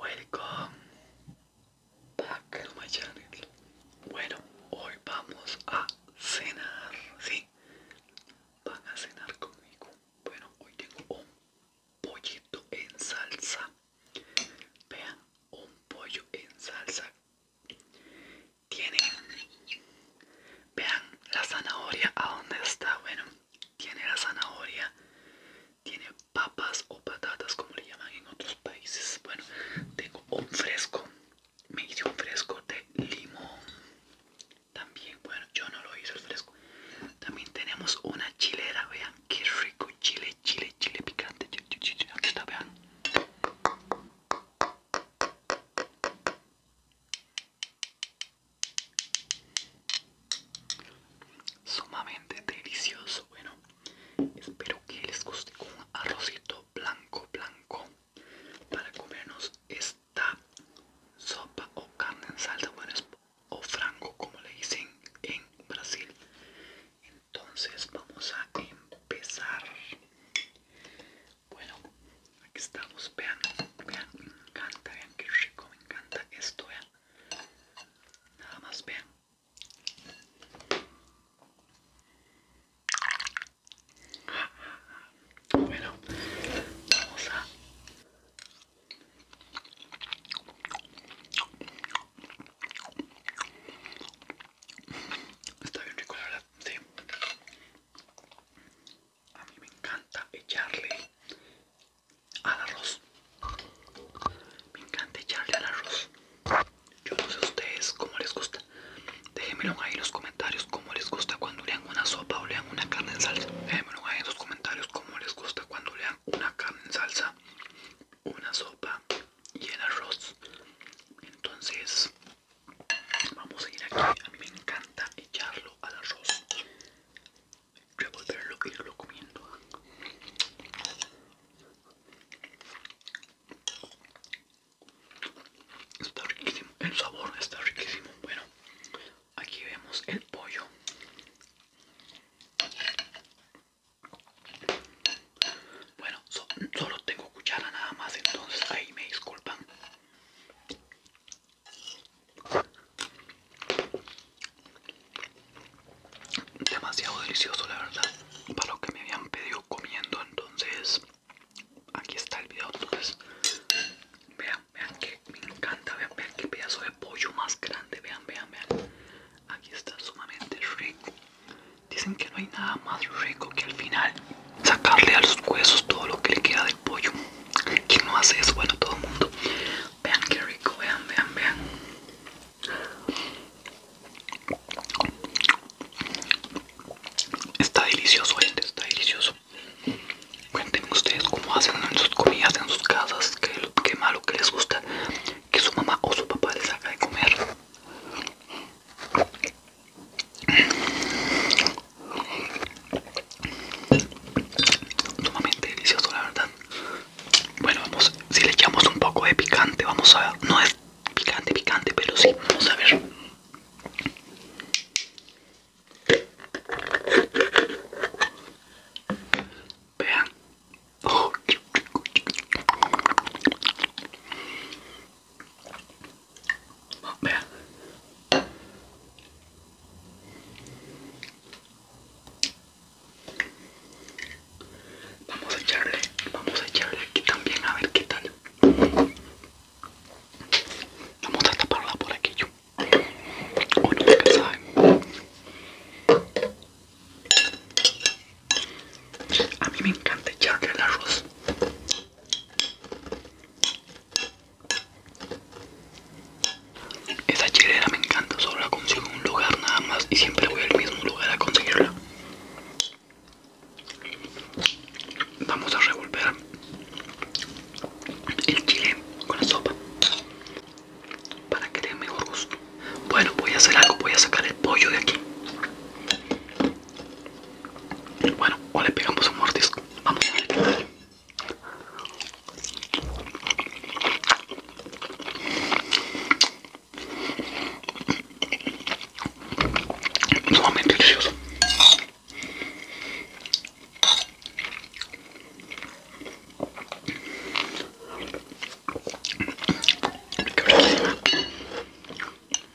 Welcome back to my channel. Bueno, hoy vamos a cenar, ¿sí? Van a cenar conmigo. Bueno, hoy tengo un pollito en salsa. Vean, un pollo en salsa. Tiene, vean la zanahoria a dónde está. Bueno, tiene la zanahoria, tiene papas o patatas como le llaman en otros países. Bueno, tengo un fresco, me hice un fresco de limón. También, bueno, yo no lo hice el fresco. También tenemos una chilera, vean qué rico chile, chile, chile picante. Aquí está, vean. Sumamente delicioso. Bueno, espero que les guste un arrocito blanco, blanco para comernos esta sopa o carne en salsa o frango, como le dicen en Brasil. Entonces, vamos a empezar. Bueno, Aquí estamos, vean, vean, me encanta, vean qué rico, me encanta esto, vean. Nada más, vean. Bueno, vamos a... Está bien rico la verdad, sí a mí me encanta echarle al arroz. Me encanta echarle al arroz. Yo no sé a ustedes cómo les gusta. Déjenmelo ahí en los comentarios cómo les gusta cuando lean una sopa o lean una carne en salsa. Déjenmelo ahí en los comentarios cómo les gusta cuando lean una carne en salsa, una sopa y el arroz. Entonces, vamos a ir aquí. A mí me encanta echarlo al arroz voy a volverlo y lo comiendo está riquísimo el sabor está riquísimo bueno aquí vemos el pollo bueno solo tengo cuchara nada más entonces ahí me disculpan Demasiado delicioso, la verdad. Para lo que me habían pedido comiendo, entonces aquí está el video. Entonces, vean, vean que me encanta. Vean, vean qué pedazo de pollo más grande. Vean, vean, vean. Aquí está sumamente rico. Dicen que no hay nada más rico que el final sacarle a los huesos todo lo que le queda del pollo. ¿Quién no hace eso? Bueno, todo el mundo. Vean qué rico, vean, vean, vean. Está delicioso, gente, está delicioso. Cuéntenme ustedes cómo hacen en sus comidas, en sus casas, qué, malo que les gusta que su mamá o su papá les haga de comer. Sumamente delicioso, la verdad. Bueno, vamos, si le echamos un poco de picante, vamos a ver. No es picante, picante, pero sí, vamos a ver. Vean. Oh, Vamos a echarle, vamos a echarle aquí también a ver qué tal. Vamos a taparla por aquí yo. O no, que A mí me encanta echarle el arroz esa chilera me encanta, solo la consigo en un lugar nada más y siempre voy al mismo lugar a conseguirla. Vamos a revolver el chile con la sopa para que dé mejor gusto. Bueno, voy a hacer algo, voy a sacar el pollo de aquí. Bueno, o le pegamos un mordisco. Vamos a ver Es Sumamente delicioso.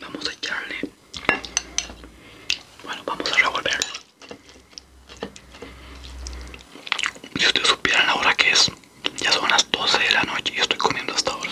Vamos a echarle. Bueno, vamos a revolver. Si ustedes supieran la hora que es, ya son las 12 de la noche y estoy comiendo hasta ahora.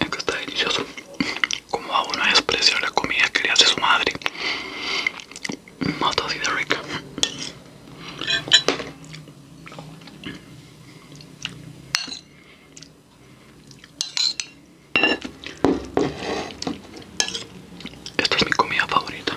Es está delicioso. Como a uno despreciar la comida que le hace su madre moto de rica esta es mi comida favorita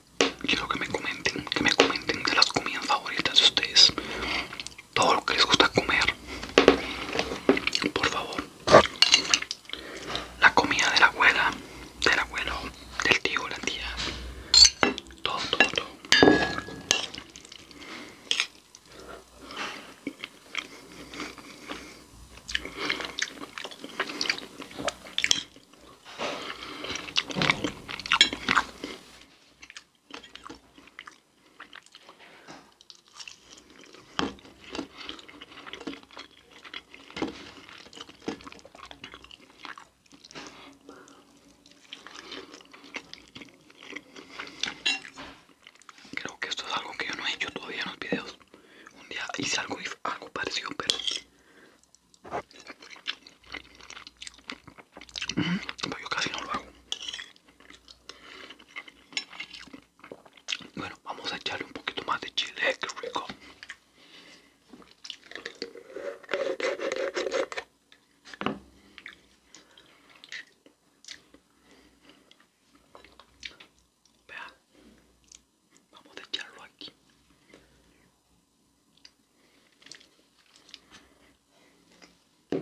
quiero que me comenten, que me comenten de las comidas favoritas de ustedes, todo lo que les gusta comer, por favor. La comida de la abuela, del abuelo, del tío, la tía, todo, todo, todo. Creo que esto es algo que yo no he hecho todavía en los videos. Un día hice algo, y algo pareció pero Mm, pues yo casi no lo hago. Bueno, vamos a echarle un poquito más de chile, eh, que rico. Vea, vamos a echarlo aquí. Ah,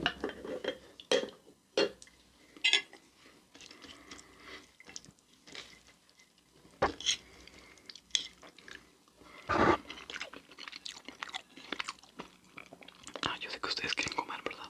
yo sé que ustedes quieren comer, ¿verdad?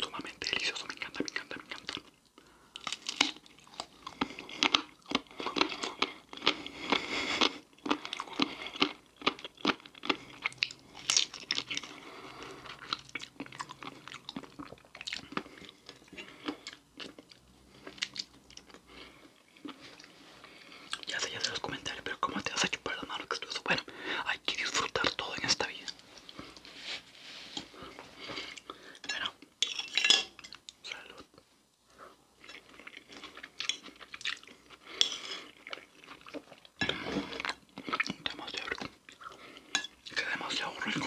Sumamente delicioso, me encanta, me encanta, me encanta. Ya sé, ya sé los comentarios, pero ¿cómo te vas a chupar las manos que estuvo Bueno, hay que disfrutar todo en esta vida. Bueno, Salud. Demasiado rico. Que demasiado rico.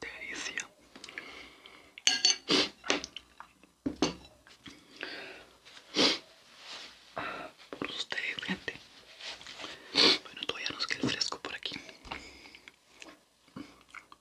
Delicia. Por ustedes, gente. Bueno, todavía nos queda el fresco por aquí.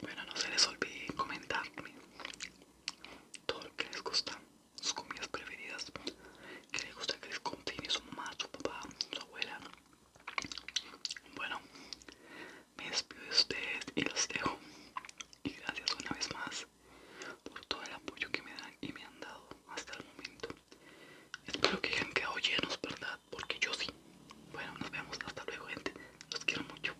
Bueno, no se les olvide comentarme todo lo que les gusta, sus comidas preferidas, que les gusta que les contiene su mamá, su papá, su abuela. Bueno, me despido de ustedes y los dejo. Y gracias una vez más por todo el apoyo que me dan y me han dado hasta el momento. Espero que hayan quedado llenos, ¿verdad? Porque yo sí. Bueno, nos vemos. Hasta luego, gente. Los quiero mucho.